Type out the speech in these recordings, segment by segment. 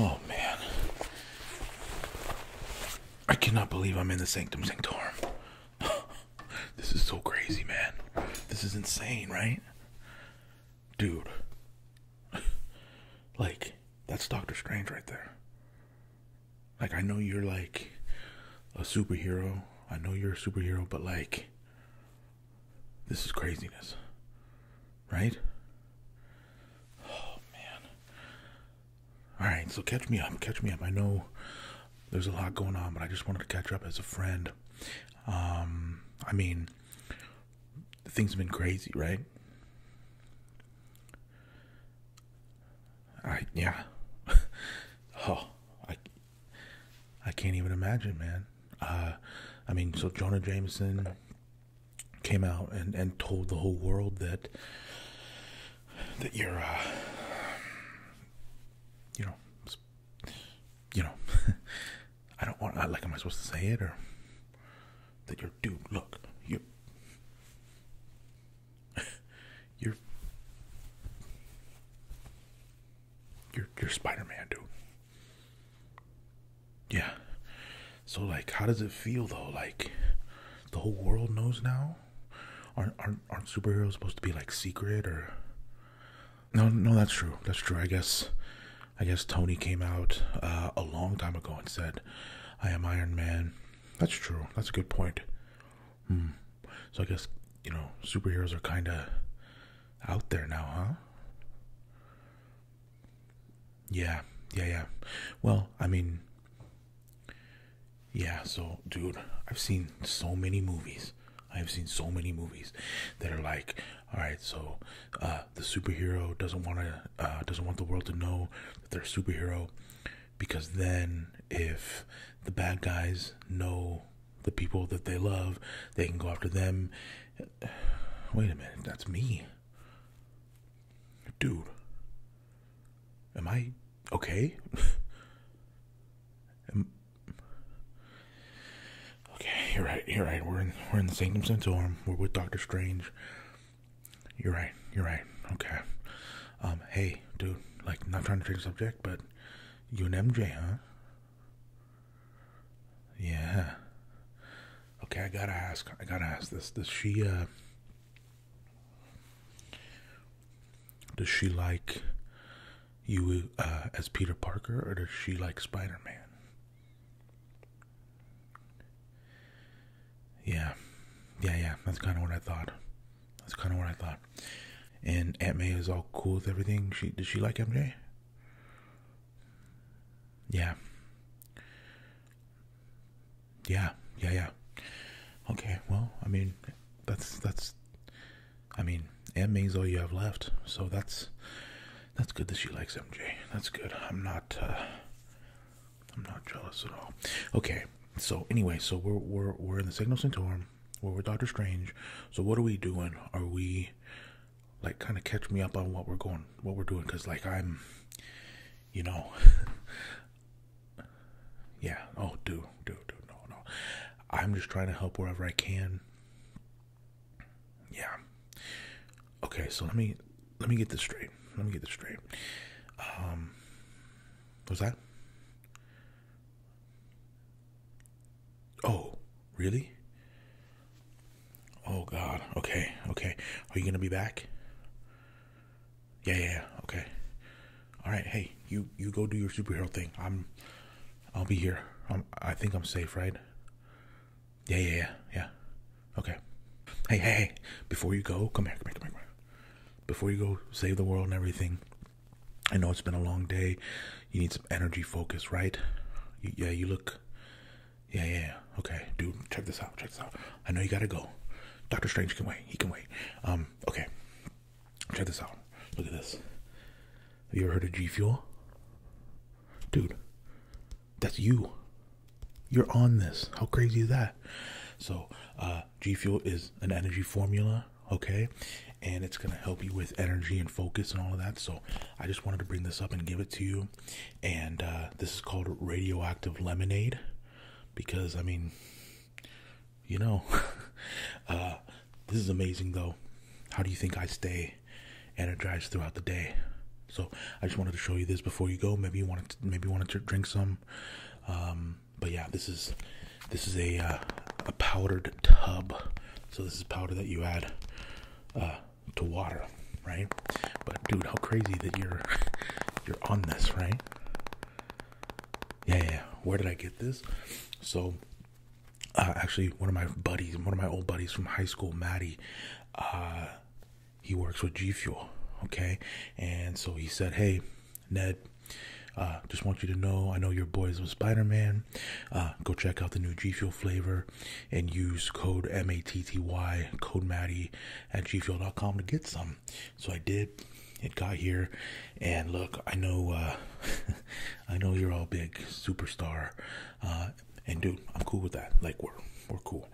Oh man. I cannot believe I'm in the Sanctum Sanctorum. this is so crazy, man. This is insane, right? Dude, like, that's Doctor Strange right there. Like, I know you're like a superhero. I know you're a superhero, but like, this is craziness. Right? Oh, man. Alright, so catch me up. Catch me up. I know there's a lot going on, but I just wanted to catch up as a friend. Um, I mean, things have been crazy, right? I yeah. oh, I I can't even imagine, man. Uh, I mean, so Jonah Jameson came out and and told the whole world that that you're uh, you know you know I don't want like am I supposed to say it or that you're dude look you're you're you're, spider-man dude yeah so like how does it feel though like the whole world knows now aren't aren't, aren't superheroes supposed to be like secret or no no that's true that's true i guess i guess tony came out uh, a long time ago and said I am Iron Man. That's true. That's a good point. Hmm. So I guess, you know, superheroes are kind of out there now, huh? Yeah. Yeah, yeah. Well, I mean, yeah, so, dude, I've seen so many movies. I've seen so many movies that are like, all right, so uh, the superhero doesn't want to uh, doesn't want the world to know that they're a superhero because then if the bad guys know the people that they love, they can go after them. Wait a minute, that's me. Dude. Am I okay? okay, you're right. You're right. We're in we're in the Sanctum Sanctorum. We're with Doctor Strange. You're right. You're right. Okay. Um, hey, dude, like, not trying to change subject, but you and MJ, huh? Yeah. Okay, I gotta ask. I gotta ask this. Does she, uh, does she like you, uh, as Peter Parker, or does she like Spider Man? Yeah. Yeah, yeah. That's kind of what I thought. That's kind of what I thought. And Aunt May is all cool with everything. She does she like MJ? Yeah. Yeah, yeah, yeah. Okay, well, I mean, that's that's. I mean, Aunt May's all you have left, so that's that's good that she likes MJ. That's good. I'm not. Uh, I'm not jealous at all. Okay, so anyway, so we're we're we're in the Signal Centaurum, we're with Doctor Strange. So what are we doing? Are we like kind of catch me up on what we're going, what we're doing? Cause like I'm, you know, yeah. Oh, do do do no, no. I'm just trying to help wherever I can. Yeah. Okay, so let me let me get this straight. Let me get this straight. Um, was that? Oh, really? Oh God. Okay, okay. Are you gonna be back? Yeah, yeah. yeah. Okay. All right. Hey, you you go do your superhero thing. I'm. I'll be here. I'm, I think I'm safe, right? Yeah, yeah, yeah, yeah. Okay. Hey, hey, hey. Before you go, come here, come here, come here, Before you go save the world and everything, I know it's been a long day. You need some energy focus, right? yeah, you look. Yeah, yeah, yeah. Okay, dude, check this out, check this out. I know you gotta go. Doctor Strange can wait, he can wait. Um, okay. Check this out. Look at this. Have you ever heard of G Fuel? Dude, that's you. You're on this. How crazy is that? So, uh, G Fuel is an energy formula, okay? And it's gonna help you with energy and focus and all of that. So, I just wanted to bring this up and give it to you. And uh, this is called radioactive lemonade because, I mean, you know, uh, this is amazing though. How do you think I stay energized throughout the day? So I just wanted to show you this before you go. Maybe you want to, maybe you want to drink some. Um, but yeah, this is this is a uh, a powdered tub. So this is powder that you add uh, to water, right? But dude, how crazy that you're you're on this, right? Yeah, yeah. Where did I get this? So uh, actually, one of my buddies, one of my old buddies from high school, Maddie. Uh, he works with G Fuel, okay? And so he said, Hey, Ned, uh, just want you to know I know your boys with Spider Man. Uh, go check out the new G Fuel flavor and use code M A T T Y, code Matty at gfuel.com to get some. So I did. It got here, and look, I know, uh, I know you're all big superstar, uh, and dude, I'm cool with that. Like we're we're cool,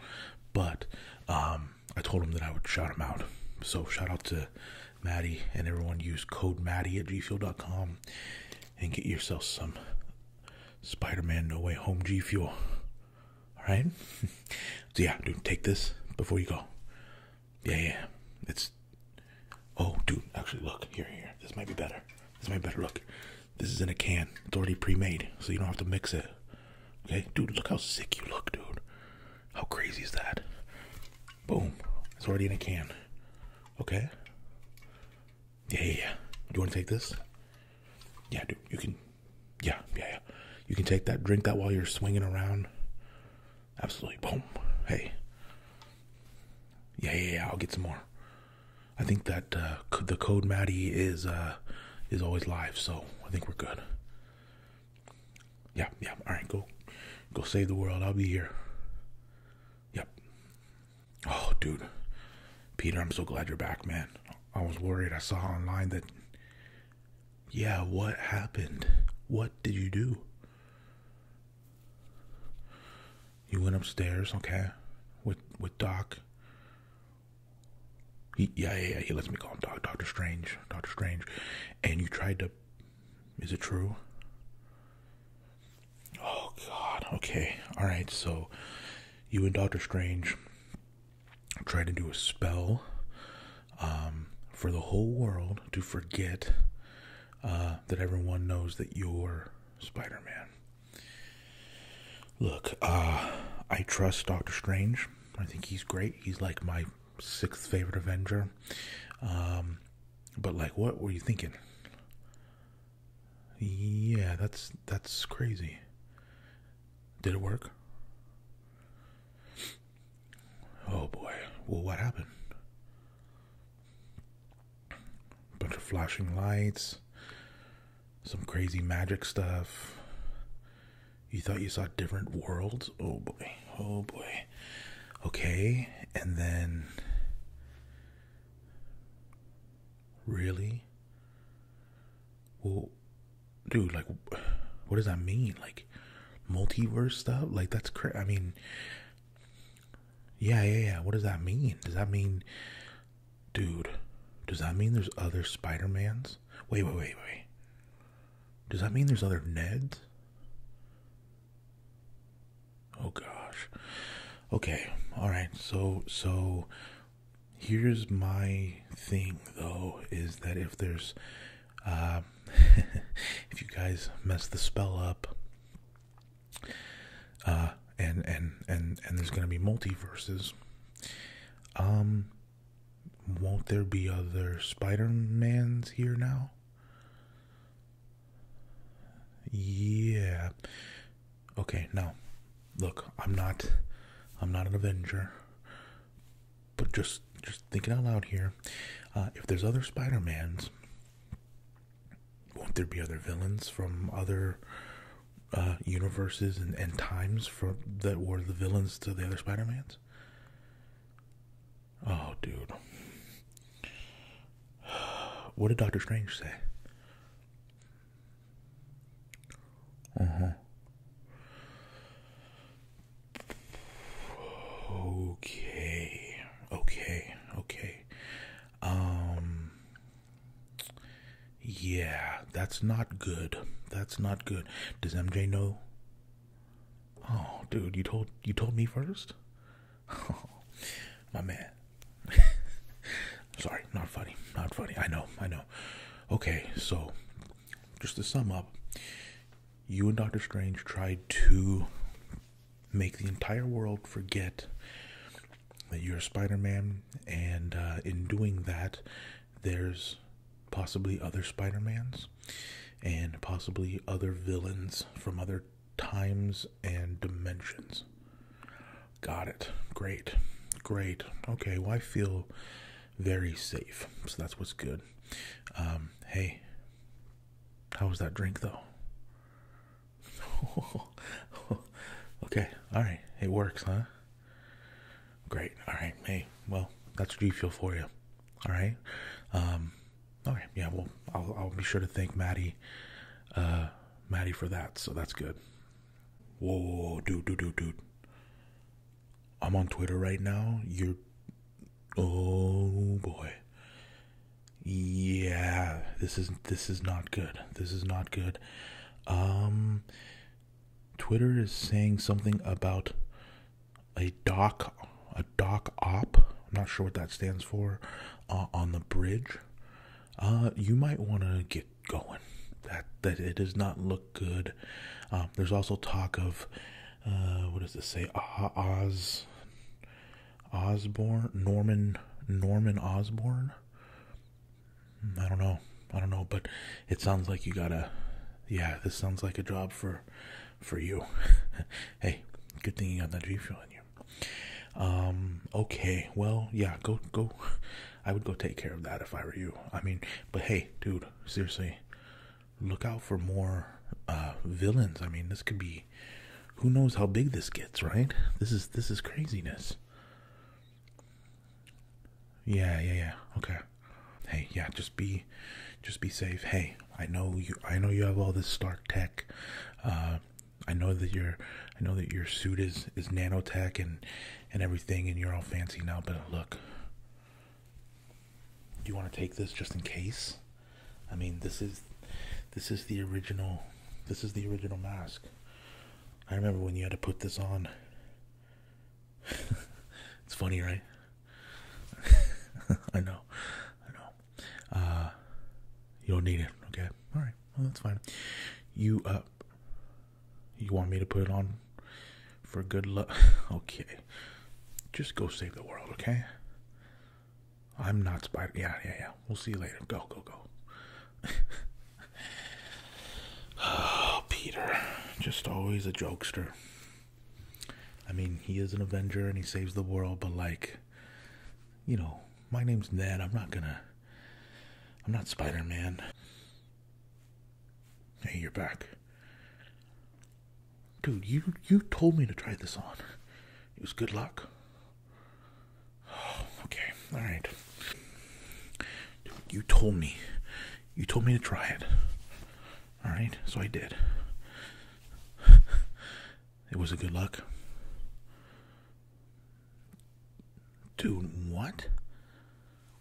but um, I told him that I would shout him out. So shout out to Maddie and everyone. Use code Maddie at gfuel.com and get yourself some Spider-Man No Way Home Gfuel. All right. so yeah, dude, take this before you go. Yeah, yeah. It's. Oh, dude. Actually, look here, here. This might be better. This might be better. Look, this is in a can. It's already pre-made, so you don't have to mix it. Okay, dude, look how sick you look, dude. How crazy is that? Boom. It's already in a can. Okay. Yeah, yeah, yeah. You want to take this? Yeah, dude. You can. Yeah, yeah, yeah. You can take that. Drink that while you're swinging around. Absolutely. Boom. Hey. Yeah, yeah, yeah. I'll get some more. I think that uh, the code Maddie is uh, is always live, so I think we're good. Yeah, yeah. All right, go, go save the world. I'll be here. Yep. Oh, dude, Peter, I'm so glad you're back, man. I was worried. I saw online that. Yeah, what happened? What did you do? You went upstairs, okay, with with Doc yeah, yeah, yeah. He lets me call him Doc, Doctor Strange. Doctor Strange. And you tried to. Is it true? Oh, God. Okay. All right. So, you and Doctor Strange tried to do a spell um, for the whole world to forget uh, that everyone knows that you're Spider Man. Look, uh, I trust Doctor Strange. I think he's great. He's like my sixth favorite Avenger. Um, but like, what were you thinking? Yeah, that's that's crazy. Did it work? Oh boy. Well, what happened? Bunch of flashing lights some crazy magic stuff. You thought you saw different worlds? Oh boy. Oh boy. Okay. And then. Really? Well, dude, like, what does that mean? Like, multiverse stuff? Like, that's crazy. I mean, yeah, yeah, yeah. What does that mean? Does that mean Dude, does that mean there's other Spider-Mans? Wait, wait, wait, wait. Does that mean there's other Neds? Oh gosh. Okay. All right. So so here's my thing though is that if there's uh, if you guys mess the spell up uh and and and and there's going to be multiverses um won't there be other Spider-Mans here now? Yeah. Okay, now. Look, I'm not I'm not an Avenger. But just just thinking out loud here, uh, if there's other Spider-Mans, won't there be other villains from other uh, universes and, times for that were the villains to the other Spider-Mans? Oh, dude. What did Doctor Strange say? Uh huh. Okay. Okay. Okay. Um yeah, that's not good. That's not good. Does MJ know? Oh, dude, you told you told me first. my man. Sorry, not funny. Not funny. I know. I know. Okay, so just to sum up, you and Doctor Strange tried to make the entire world forget that you're Spider-Man, and uh, in doing that, there's possibly other Spider-Mans and possibly other villains from other times and dimensions. Got it. Great. Great. Okay, I feel very safe, so that's what's good. Um, hey, how was that drink, though? okay, all right, it works, huh? Great. All right. Hey, well, that's G feel for you. All right. Um, all right. Yeah. Well, I'll, I'll be sure to thank Maddie, uh, Maddie for that. So that's good. Whoa, whoa, whoa, dude, dude, dude, dude. I'm on Twitter right now. You're, oh boy. Yeah, this is this is not good. This is not good. Um, Twitter is saying something about a doc, a dock op. I'm not sure what that stands for. Uh, on the bridge, uh, you might want to get going. That that it does not look good. Um, there's also talk of uh, what does this say? Oz Osborne Norman Norman Osborne I don't know. I don't know, but it sounds like you gotta. Yeah, this sounds like a job for, for you. hey, good thing you got that G fuel in you. Um. Okay. Well, yeah. Go. Go. I would go take care of that if I were you. I mean, but hey, dude. Seriously, look out for more uh, villains. I mean, this could be. Who knows how big this gets, right? This is this is craziness. Yeah, yeah, yeah. Okay. Hey, yeah, just be just be safe. Hey, I know you I know you have all this Stark tech. Uh I know that your I know that your suit is is nanotech and and everything and you're all fancy now, but look. Do you want to take this just in case? I mean, this is this is the original this is the original mask. I remember when you had to put this on it's funny, right? I know, I know. Uh, you don't need it, okay? All right, well that's fine. You uh, you want me to put it on for good luck? okay, just go save the world, okay? I'm not Spider. Yeah, yeah, yeah. We'll see you later. Go, go, go. Oh, Peter, just always a jokester. I mean, he is an Avenger and he saves the world, but like, you know, my name's Ned. I'm not gonna. I'm not Spider Man. Hey, you're back. Dude, you you told me to try this on. It was good luck. okay, all right. Dude, you told me you told me to try it. All right, so I did. it was a good luck. Dude, what?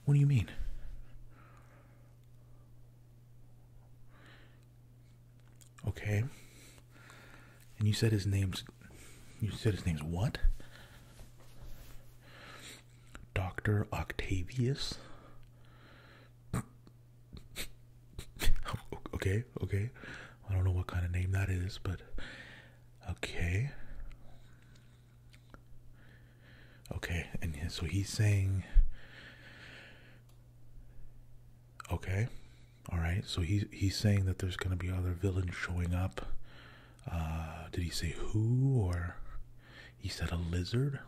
What do you mean? Okay. And you said his name's. You said his name's what? Dr. Octavius. okay, okay. I don't know what kind of name that is, but okay. Okay, and so he's saying Okay. All right. So he he's saying that there's going to be other villains showing up uh, did he say who or he said a lizard?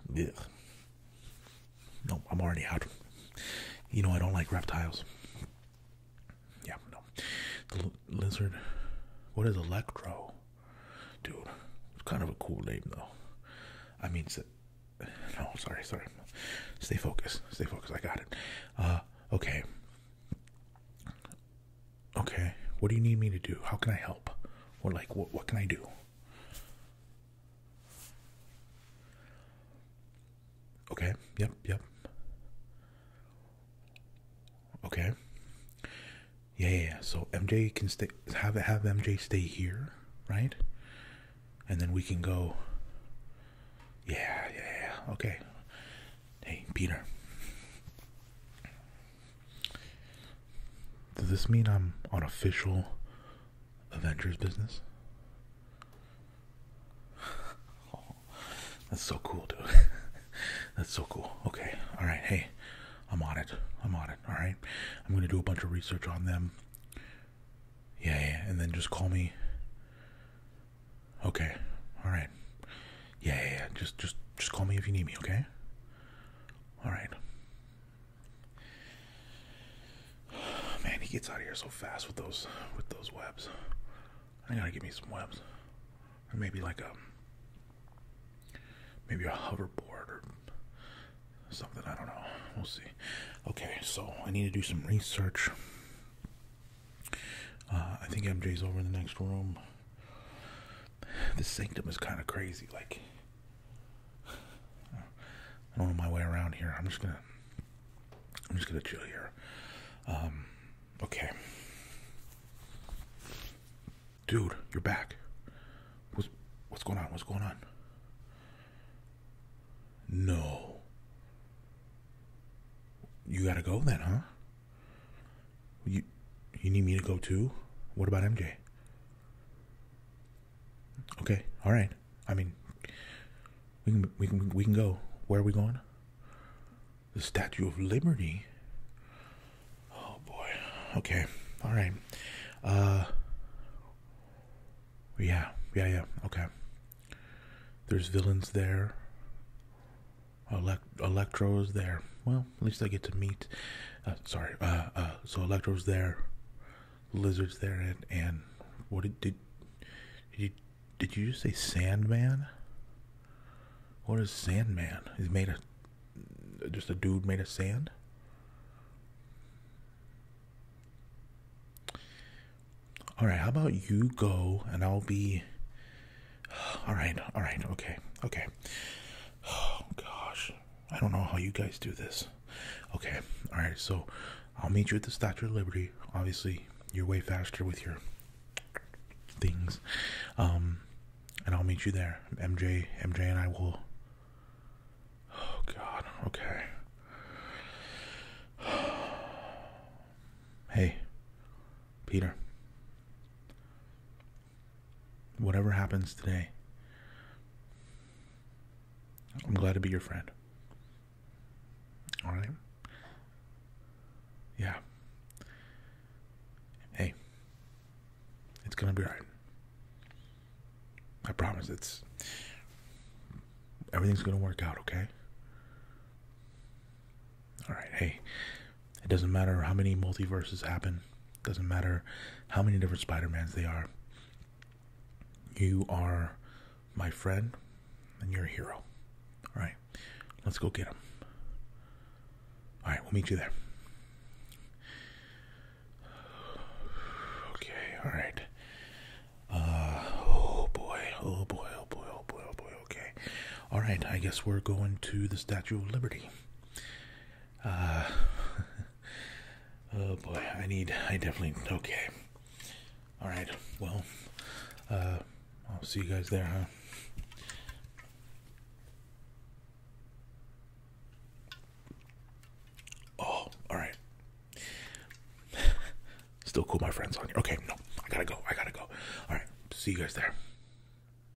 No, I'm already out. You know I don't like reptiles. Yeah, no. The lizard. What is Electro? Dude, it's kind of a cool name though. I mean, no, sorry, sorry. Stay focused. Stay focused. I got it. Uh, okay okay what do you need me to do how can i help or like what, can i do okay yep yep okay yeah, yeah, so mj can stay have have mj stay here right and then we can go yeah yeah okay hey peter does this mean I'm on official Avengers business? that's so cool, dude. that's so cool. Okay. All right. Hey, I'm on it. I'm on it. All right. I'm going to do a bunch of research on them. Yeah, yeah. And then just call me. Okay. All right. yeah, yeah. Just just just call me if you need me, okay? All right. Man, he gets out of here so fast with those with those webs. I gotta give me some webs, or maybe like a maybe a hoverboard or something. I don't know. We'll see. Okay, so I need to do some research. Uh, I think MJ's over in the next room. This sanctum is kind of crazy. Like, I don't know my way around here. I'm just gonna, I'm just gonna chill here. Um, okay, dude, you're back. What's what's going on? What's going on? No. You gotta go then, huh? You, you need me to go too? What about MJ? Okay, all right. I mean, we can we can we can go. Where are we going? The Statue of Liberty. Oh boy. Okay. All right. Uh. Yeah. Yeah. Yeah. Okay. There's villains there. Elect- Electro's there. Well, at least I get to meet. Uh, sorry. Uh, uh, so Electro's there. Lizard's there, and and what did did, you did you just say Sandman? What is Sandman? He's made of just a dude made of sand. All right. How about you go, and I'll be all right, all right, okay, okay. Oh, gosh, I don't know how you guys do this. Okay, all right, so I'll meet you at the Statue of Liberty. Obviously, you're way faster with your things. Um, and I'll meet you there. MJ, MJ and I will. Oh god, okay. hey, Peter whatever happens today, I'm glad to be your friend. All right? Yeah. Hey, it's going to be all right. I promise it's everything's going to work out, okay? All right. Hey, it doesn't matter how many multiverses happen. It doesn't matter how many different Spider-Mans they are. You are my friend and you're a hero. All right. Let's go get him. All right, we'll meet you there. Okay, all right. oh boy, oh boy, oh boy, oh boy, oh boy. Okay, all right. I guess we're going to the Statue of Liberty. Uh, oh boy, I need. I definitely. Okay. All right. Well, uh, I'll see you guys there, huh? Oh, all right. Still cool, my friends on here. Okay, no, I gotta go. I gotta go. All right, see you guys there.